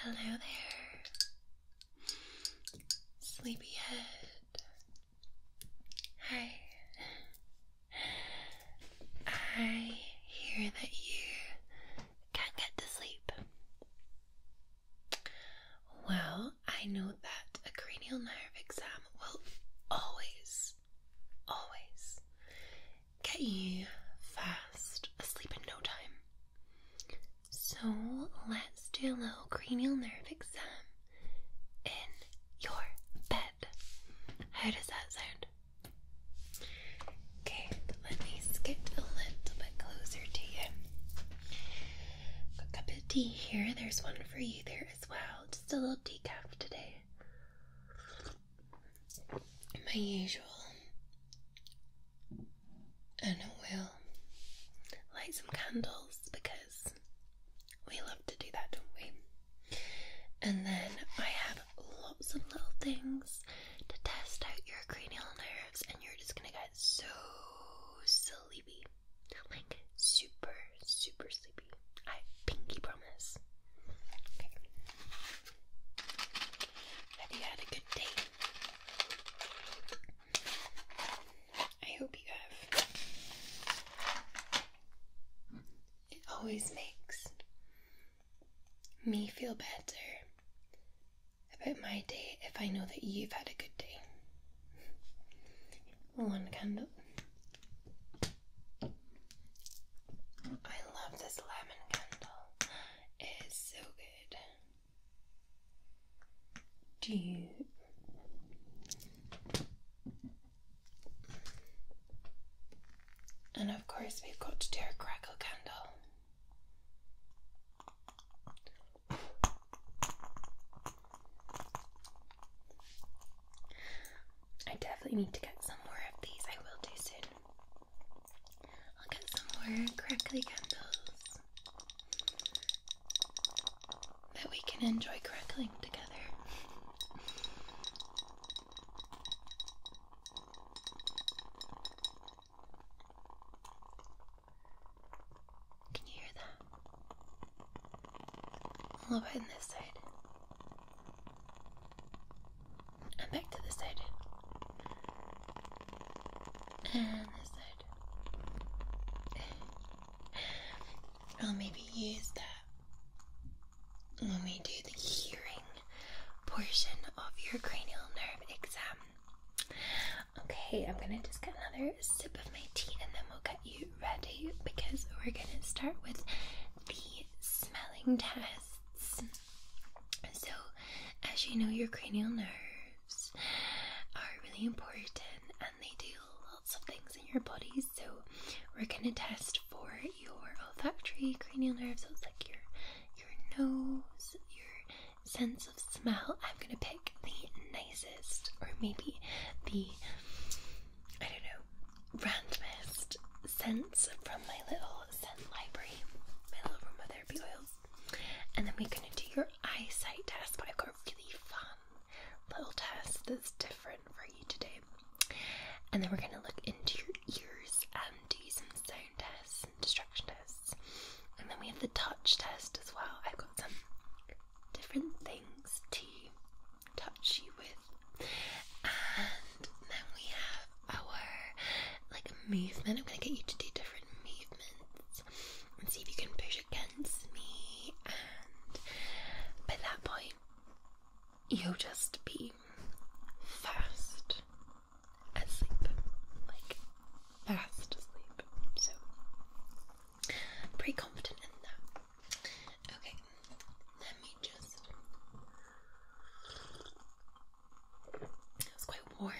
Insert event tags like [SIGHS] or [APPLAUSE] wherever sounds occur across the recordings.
Hello there, sleepyhead. Hi. I hear that you can't get to sleep. Well, I know that a cranial nerve exam will always, always get you fast asleep in no time. So let's do a little cranial nerve exam in your bed. How does that sound? Okay, let me skip a little bit closer to you. Got a cup of tea here. There's one for you there as well. Just a little decaf today. My usual. And we'll light some candles because we love to do that, don't we? And then I have lots of little things to test out your cranial nerves, and you're just gonna get so sleepy. Like super, super sleepy. I pinky promise. Have you had a good day? I hope you have. It always makes me feel better about my day if I know that you've had a good day one candle. I love this lemon candle. It is so good. Do and of course we've got to do a crackle candle. I definitely need to get some more of these. I will do soon. I'll get some more crackly candles that we can enjoy crackling together. Can you hear that? A little bit on this side. And back to this side. And this side. I'll maybe use that when we do the hearing portion of your cranial nerve exam. Okay, I'm gonna just get another sip of my tea and then we'll get you ready because we're gonna start with the smelling tests. So, as you know, your cranial nerves are really important and they do lots of things in your body. So, we're gonna test for your olfactory cranial nerves, so like your your nose, your sense of smell, I'm gonna pick the nicest, or maybe the I don't know, randomest sense from my little scent library, my little aromatherapy oils. And then we're gonna do your eyesight test, but I've got a really fun little test that's different for you today. And then we're gonna look into your ears and do some sound tests and distraction tests. And then we have the touch test as well. I've got some different things to touch you with. And then we have our like movement. I'm gonna get you to do different movements and see if you can push against me. And by that point, you'll just be fast asleep, like fast asleep. So pretty confident in that. Okay, let me just. It quite warm.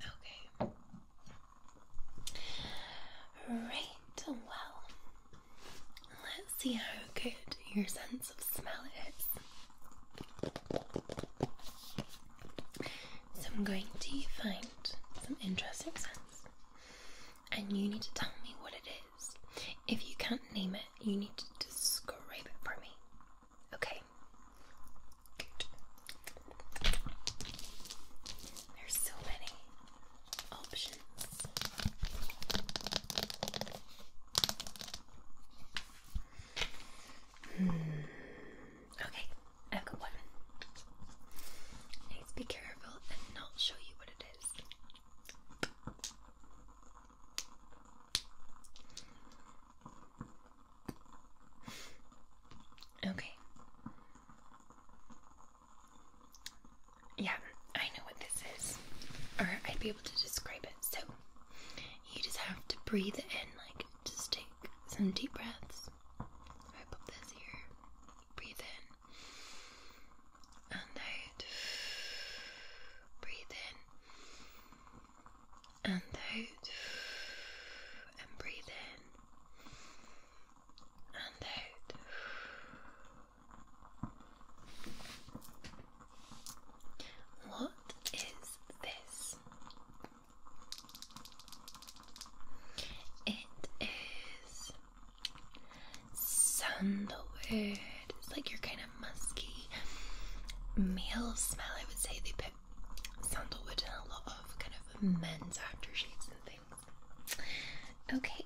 Okay. Right, well, let's see how good your sense of smell is. So I'm going to find some interesting scents, and you need to tell me what it is. If you can't name it, you need to describe it for me. Okay. There's so many options. Hmm. Okay, I've got one. Please be careful and not show you what it is. Okay. Yeah, I know what this is. Or I'd be able to describe it. So, you just have to breathe it in, like just take some deep breaths. I put this here. Breathe in and out. Breathe in and out. And breathe in and out. What is this? It is sandalwood. It's like your kind of musky male smell. I would say they put sandalwood in a lot of kind of men's aftershaves and things. Okay,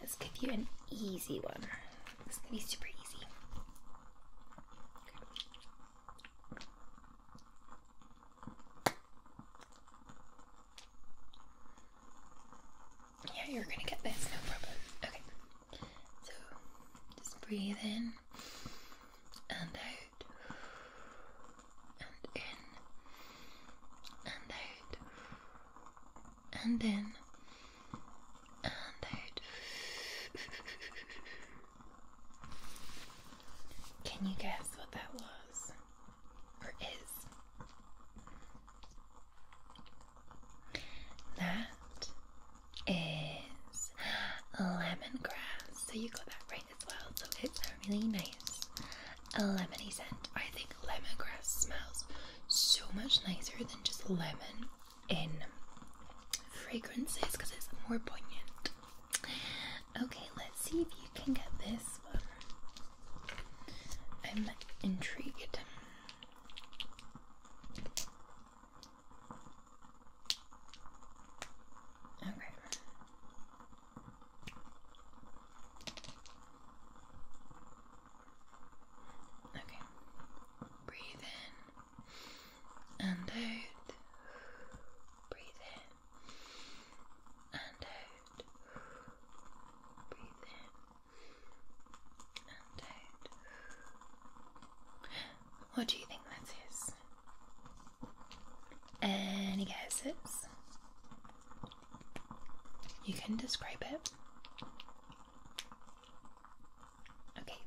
let's give you an easy one. This is gonna be super easy. Yeah, you're gonna get this, no problem. Okay. So just breathe in and out and in and out and in [LAUGHS] Can you guess what that was? Or is? That is lemongrass. So you got that right as well. So it's a really nice lemony scent. I think lemongrass smells so much nicer than just lemon in fragrances because it's more poignant. Okay, let's see if you can get this I'm intrigued. Okay. Okay. Breathe in and out. Breathe in and out. Breathe in and out. What do you think that is? Any guesses? You can describe it. Okay,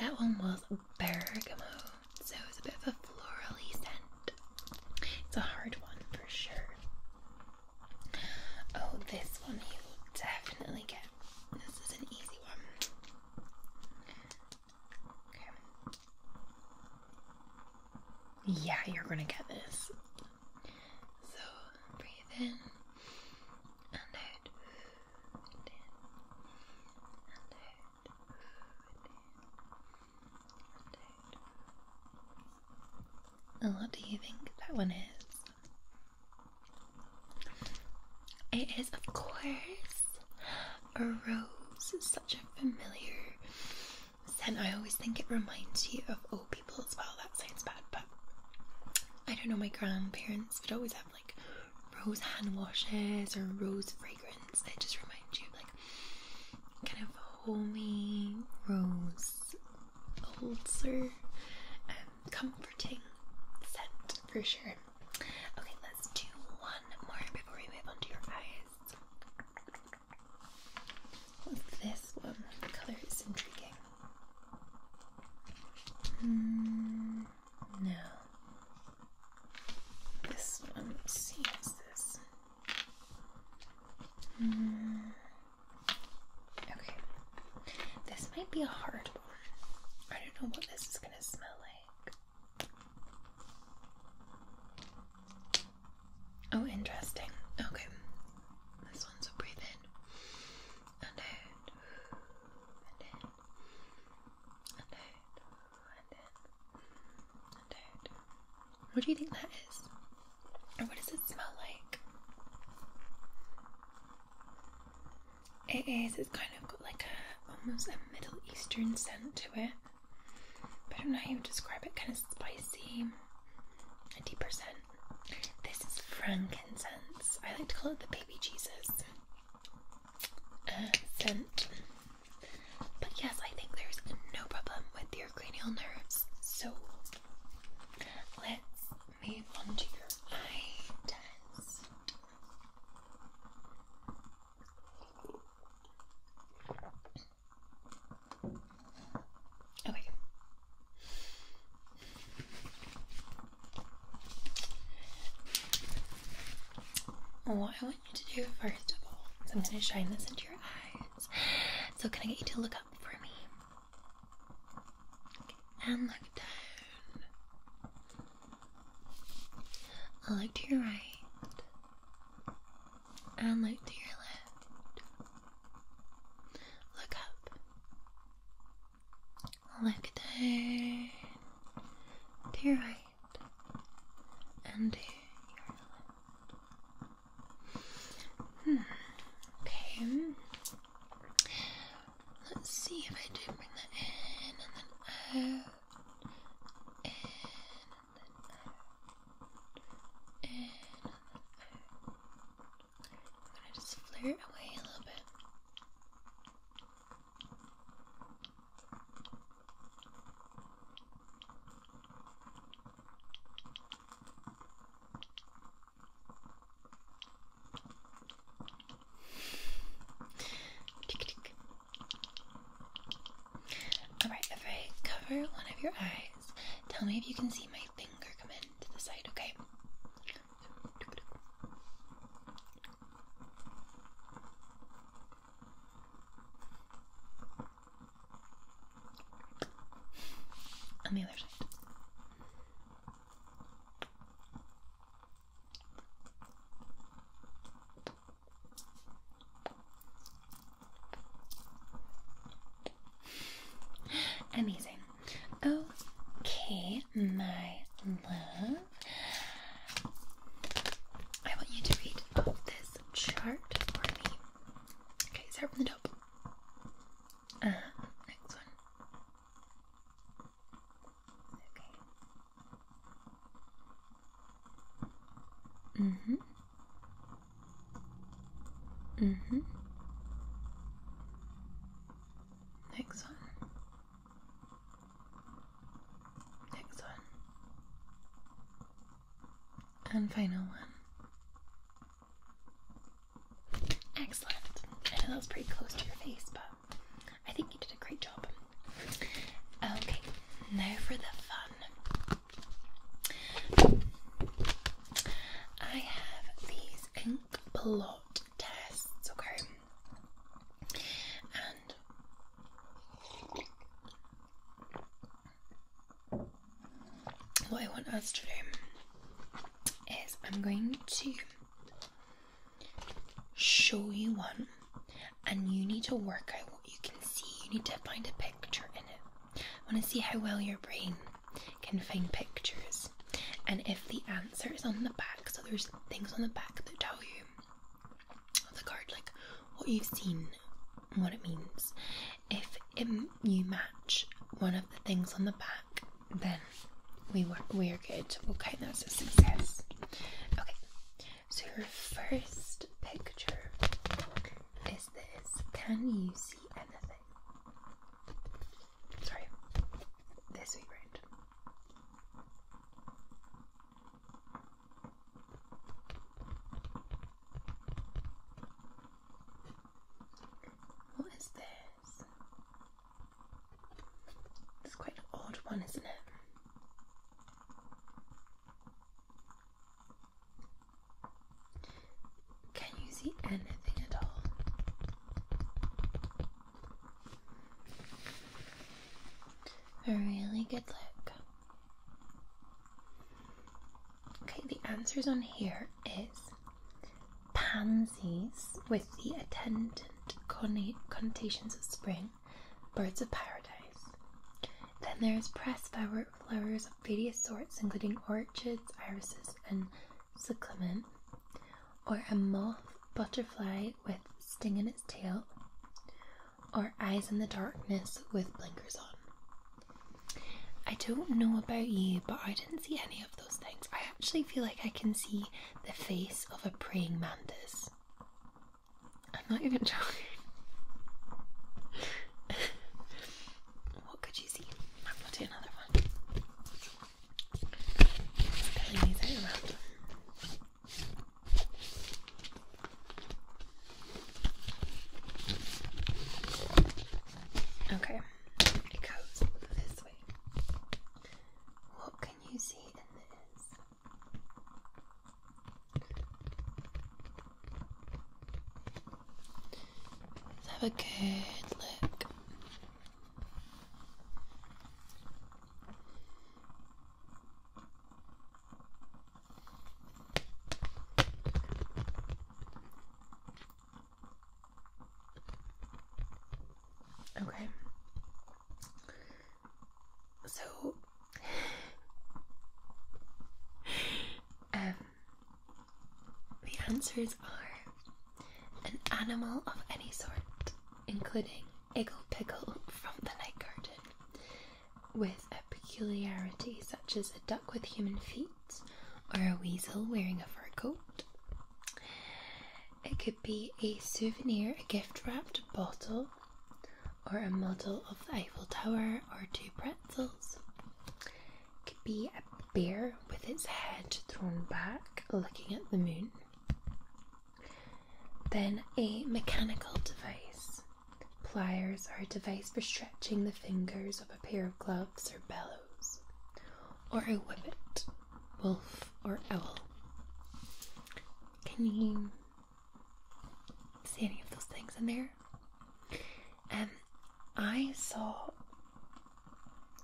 that one was bergamot, so it's a bit of a florally scent. It's a hard one for sure. Oh, this one you will definitely get. This is an easy one. Okay. Yeah, you're gonna get this. So breathe in and out and what do you think that one is? It is, of course, a rose. such a familiar scent. I always think it reminds you of old people as well. That sounds bad, but I don't know. My grandparents but always have like rose hand washes or rose fragrance. that just reminds you of like kind of homey rose ulcer um, comforting scent for sure. Okay, let's do one more before we move on to your eyes. this one? The colour is intriguing. Mm, no. This one seems this. Hmm, okay. This might be a hard one. I don't know what this is gonna smell like. Oh, interesting. Okay. This one's a breathe in and out, and in, and out, and in, What do you think that is? Or what does it smell like? It is, it's kind of got like a almost a Middle Eastern scent to it. But I don't know how you describe it, kind of spicy, a deeper scent. This is frankincense. I like to call it the baby Jesus uh, scent. But yes, I think there's no problem with your cranial nerves. So let's move on to your eye Okay. What I want you to do first of all is I'm going to shine this into your eyes. So, can I get you to look up for me? And look down. I'll look to your right. And look to your left. Look up. Look down to right and to left. Hmm. Okay. Let's see if I do bring that in and then out. In and then out. In and then out. I'm gonna just flare it away a little bit. Alright, if I cover one of your eyes, tell me if you can see my finger come into the side, okay? On the other side. Amazing. Okay, my love. I want you to read this chart for me. Okay, start from the top. next one. Okay. Mm-hmm. Mm-hmm. Next one. Next one. And final one. Excellent. I know that was pretty close to your face, but I think you did a great job. Okay, now for the fun. I have these inks plot tests, okay? And what I want us to do is I'm going to show you one and you need to work out what you can see. You need to find a picture in it. I want to see how well your brain can find pictures. And if the answer is on the back, so there's things on the back that tell you the card, like what you've seen and what it means. If you match one of the things on the back, then we were we're good. Okay, will that as a success. Okay, so your first picture is this. Can you see anything? Sorry, their sweet What is this? It's quite an odd one, isn't it? Can you see anything at all? A really good look. Okay, the answers on here is pansies with the attendant connotations of spring, birds of paradise. Then there's pressed flowers of various sorts, including orchids, irises, and cyclamen, or a moth butterfly with sting in its tail, or eyes in the darkness with blinkers on. I don't know about you, but I didn't see any of those things. I actually feel like I can see the face of a praying mantis. I'm not even [LAUGHS] joking. What could you see? I've got another one. Okay, it goes this way. What can you see in this? Let's have a good look. Okay. So [SIGHS] um the answers are an animal of any sort, including Iggle Pickle from the Night Garden, with a peculiarity such as a duck with human feet or a weasel wearing a fur coat. It could be a souvenir, a gift wrapped bottle, or a model of the Eiffel Tower, or two pretzels. It could be a bear with its head thrown back looking at the moon. Then a mechanical device. Pliers are a device for stretching the fingers of a pair of gloves or bellows, or a whippet, wolf, or owl. Can you see any of those things in there? And um, I saw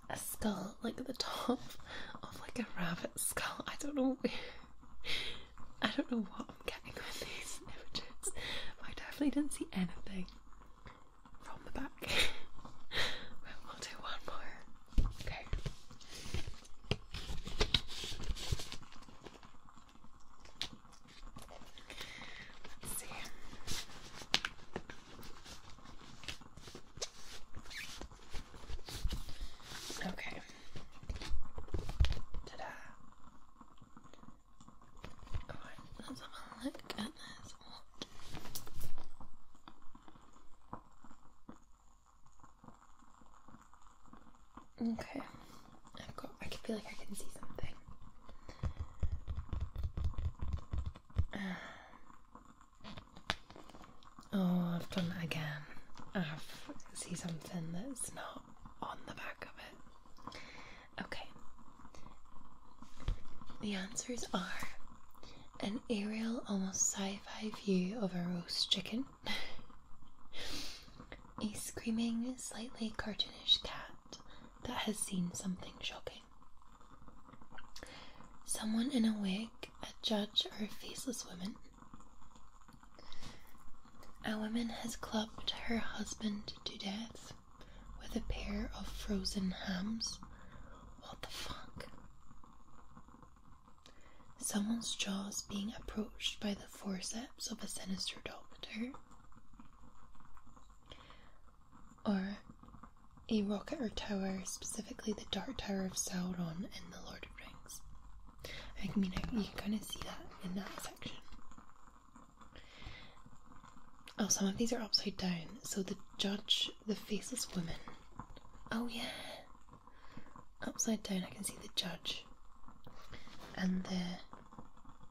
a skull, like the top [LAUGHS] of like a rabbit skull. I don't know. I don't know what I'm getting with these [LAUGHS] images. I definitely didn't see anything from the back. [LAUGHS] well, will do one more. Okay. Let's see. Okay. Ta-da. Alright, let's have a look at this. Okay. I've got I can feel like I can see something. [SIGHS] Oh, I've done it again. I've see something that's not on the back of it. Okay. The answers are an aerial, almost sci-fi view of a roast chicken, [LAUGHS] a screaming, slightly cartoonish cat that has seen something shocking. Someone in a wig, a judge, or a faceless woman. A woman has clubbed her husband to death with a pair of frozen hams. What the fuck? Someone's jaws being approached by the forceps of a sinister doctor. Or a rocket or tower, specifically the Dark Tower of Sauron in The Lord of the Rings. I mean, you can kind of see that in that section. Oh, some of these are upside down. So the judge, the faceless woman. Oh, yeah. Upside down, I can see the judge and the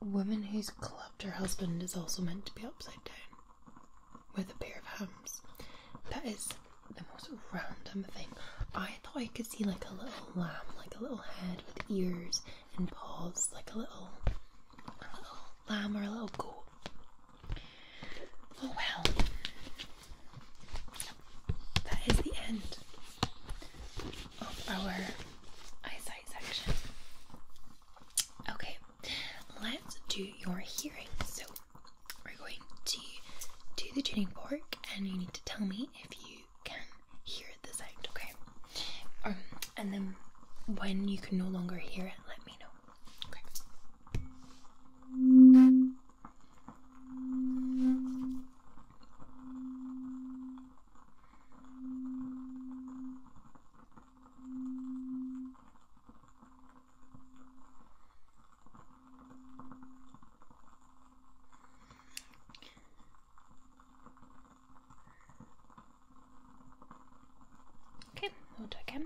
woman who's clubbed her husband is also meant to be upside down with a pair of hams. That is the most random thing. I thought I could see like a little lamb, like a little head with ears and paws, like a little, lamb or a little goat. Oh well. That is the end of our eyesight section. Okay, let's do your hearing. So, we're going to do the tuning fork, and you need to tell me if you can hear the sound, okay? Um, and then when you can no longer hear it, let me know. Okay. Okay, we'll do again.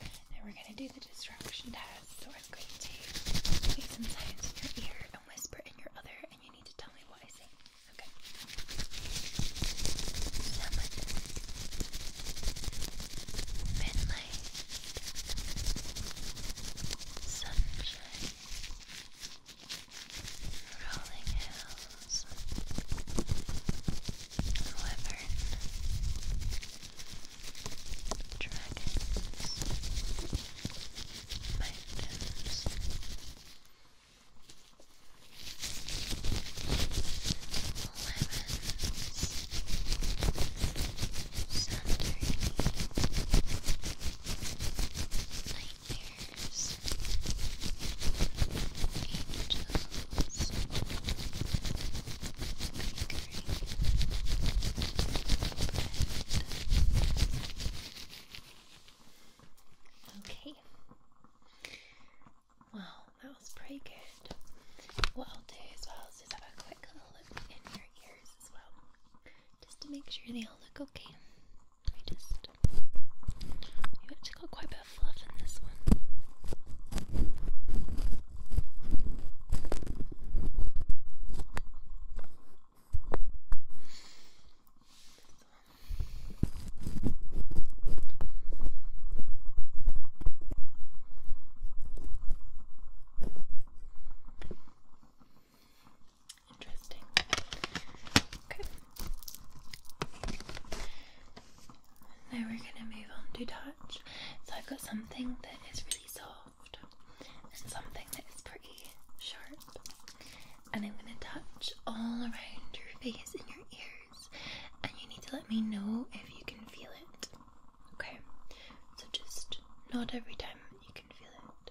And we're going to do the distraction test. So I'm going to make some sounds in your ear and whisper in your other, and you need to tell me what I say. Okay. Lemon. Sunshine. Rolling hills. Wyvern dragons, mountains. Lemons, Saturn, nightmares, angels, Okay. Wow, that was pretty good. What I'll do as well is just have a quick little look in your ears as well, just to make sure they all look okay. Let just. You actually got quite a bit of fluff in this one. Interesting. Okay. Now we're going to move on to touch. So I've got something that is really soft and something that is pretty sharp. And I'm going to touch all around your face and your ears. And you need to let me know if you can feel it. Okay? So just not every time you can feel it.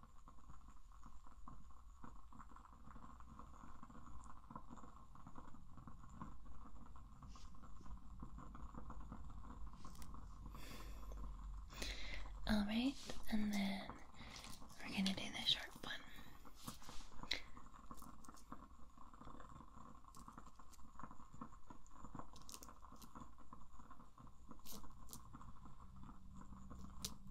All right, and then we're going to do the short one.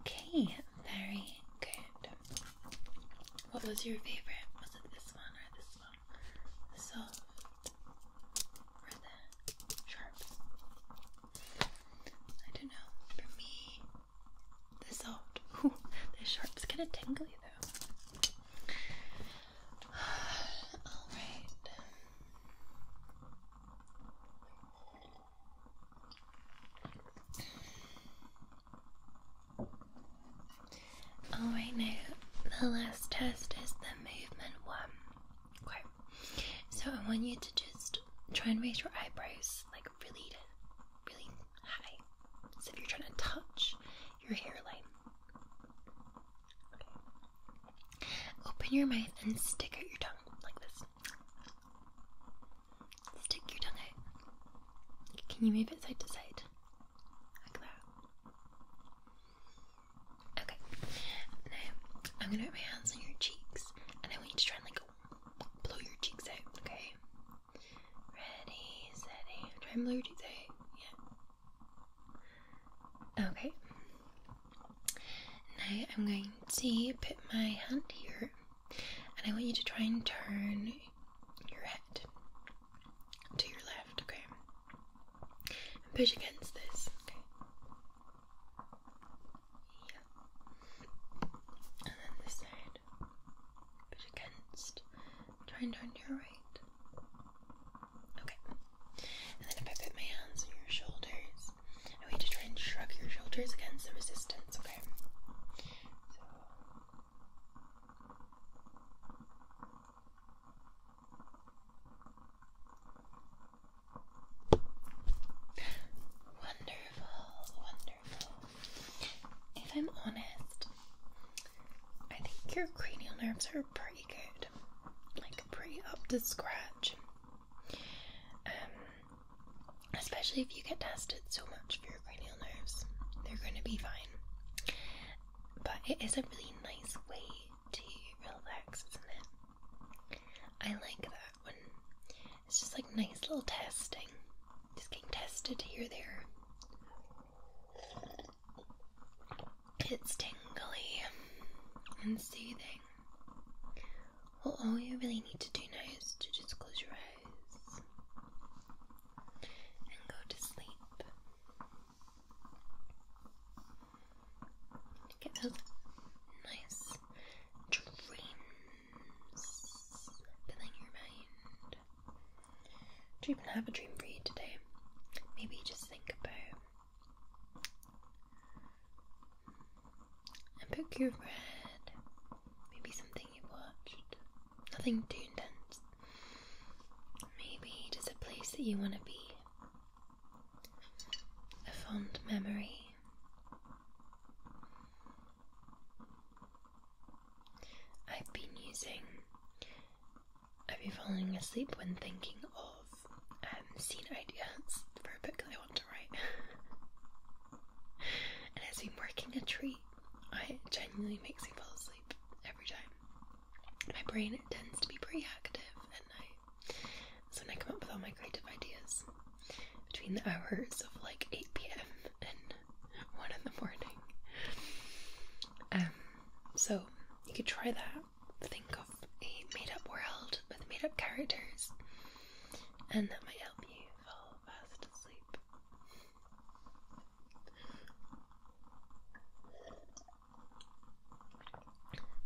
Okay, very good. What was your favorite? Was it this one or this one? The soft or the sharp? I don't know. For me, the soft. [LAUGHS] the sharp's kind of tingly though. All right. Alright, now the last test is the movement one. so I want you to just try and raise your eyebrows like really, really high. So if you're trying to touch your hairline, open your mouth and stick out your tongue like this. Stick your tongue out. Can you move it side to side? Like that. Okay. Now I'm gonna put my hands on your cheeks, and I want you to try and like blow your cheeks out. Okay. Ready, steady. Trembler, do you say? Yeah. Okay. Now I'm going to put my hand here and I want you to try and turn your head to your left, okay? And push against this, okay? Yeah. And then this side right, push against, try and turn to your right. Okay, and then if I put my hands on your shoulders, I want you to try and shrug your shoulders against the resistance, okay? Wonderful, wonderful. If I'm honest, I think your cranial nerves are pretty good, like pretty up to scratch. Um, especially if you get tested so much for your cranial nerves, they're going to be fine. But it is a really nice way to relax, isn't it? I like that one. it's just like nice little testing. Just getting tested here, there. It's tingly and soothing. Well, all you really need to do now is to just close your eyes and go to sleep. Get those nice dreams filling your mind. Dream and have a dream for you today. Maybe just think about and pick your read, maybe something you've watched, nothing too intense. Maybe just a place that you want to be, a fond memory. I've been using. I've been falling asleep when thinking of um, scene ideas for a book that I want to write. [LAUGHS] and it's been working a treat. I, it genuinely makes me fall asleep every time. My brain tends to be pretty active at night. So when I come up with all my creative ideas between the hours of like 8 pm and [LAUGHS] one in the morning. Um, so you could try that. Think of a made-up world with made-up characters, and that might help you fall fast asleep.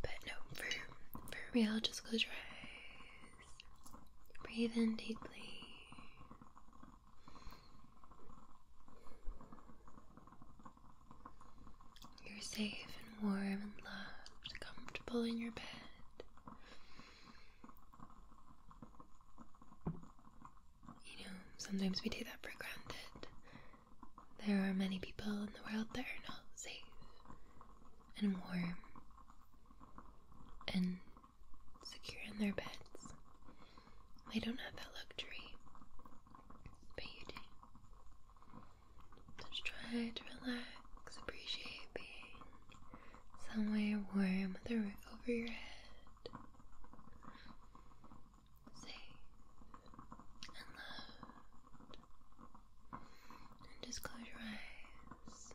But no, for for I'll just close my eyes. Breathe in deeply. You're safe and warm and loved, comfortable in your bed. You know, sometimes we take that for granted. There are many people in the world that are not safe and warm and secure in their beds. They don't have that luxury, but you do. Just try to relax, appreciate being somewhere warm with a roof over your head, safe and loved. And just close your eyes.